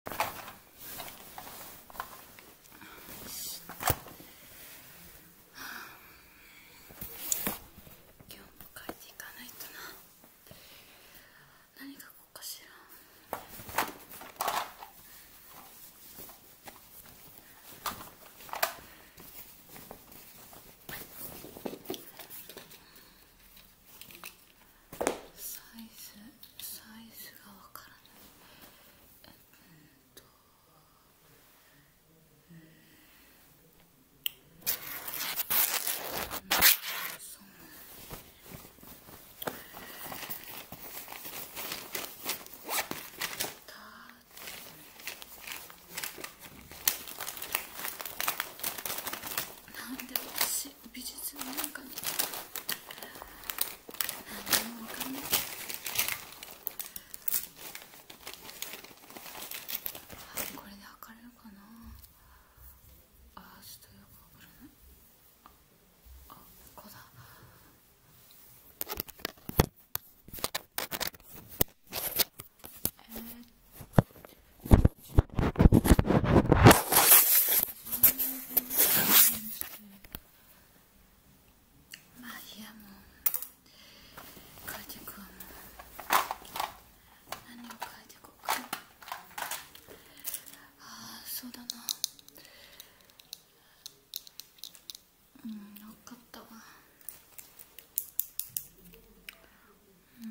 よしはあ今日も帰っていかないとな何書こうかしらあっサイズサイズが分からないうんとうん、うん、そうたなんで欲しい術美術のなんかねあのわかんないこれで測れるかなああ、ちょっとよくわからないあこうだえー、まあいやもう何を変えてこうかああそうだなうん分かったわうん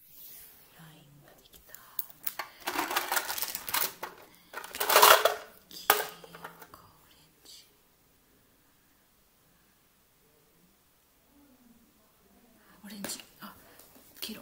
ラインができた黄色かオレンジオレンジあ黄色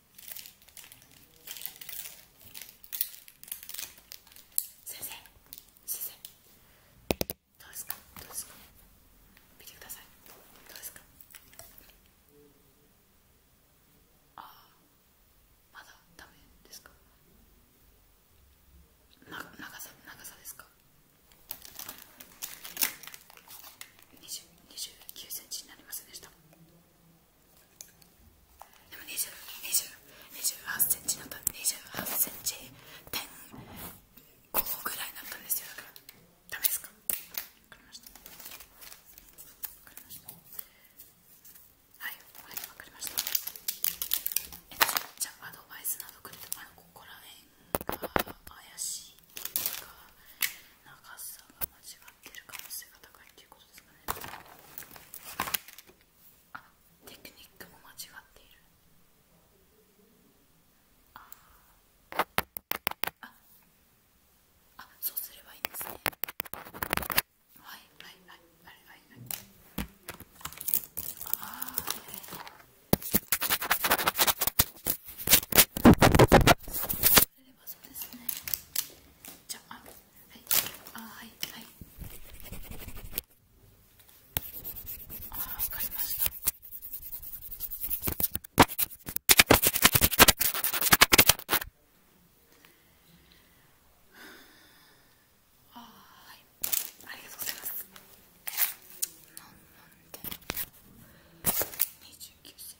先生先生どうですかどうですか見てくださいどうですかああ。まだだめですかな長さ長さですか29センチになりませんでしたでも20、20、28センチになった28センチ点5ぐらいになったんですよだかダメですか分かりました分かりましたはい分かりましたえっとじゃあアドバイスなどくれてあのここら辺が怪しいとか長さが間違ってる可能性が高いということですかねテクニックも間違っているあああそうすればいいんですねはいはいはいはいはいはいあーれそうですねじゃあはいあはいはいあ分かりましたあはいありがとうございますなんなんで29歳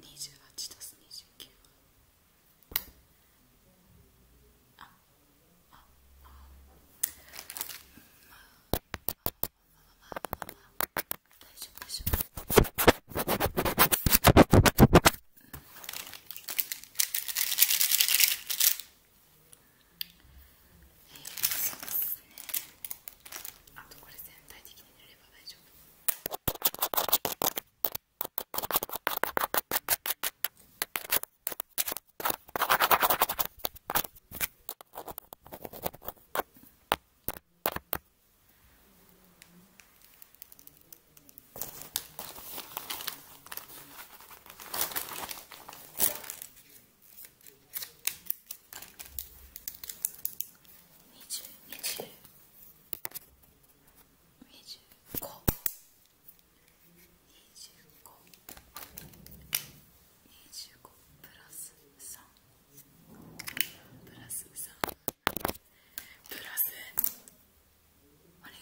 28たす29はあああまあまあまあまあまあまあまあ大丈夫大丈夫うんそうですねあとこれ全体的に塗れば大丈夫プラス3プラス3プラスお願い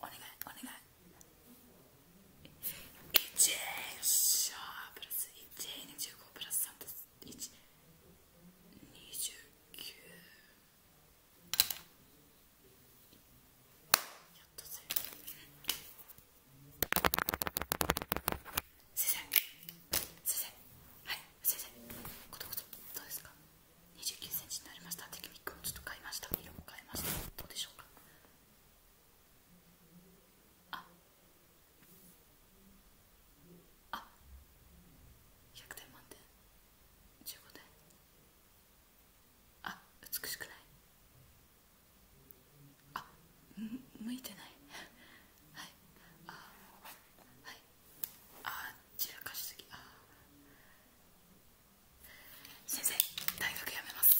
お願いお願い1円シャープラス1円25プラス3プラス1 29やっとする先生先生はい先生ことことどうですか29センチになりましたテクニックをちょっと変えました色も変えましたどうでしょうかああ100点満点15点あ美しくないあ向いてないはいあはいあちらかしすぎあ先生大学やめます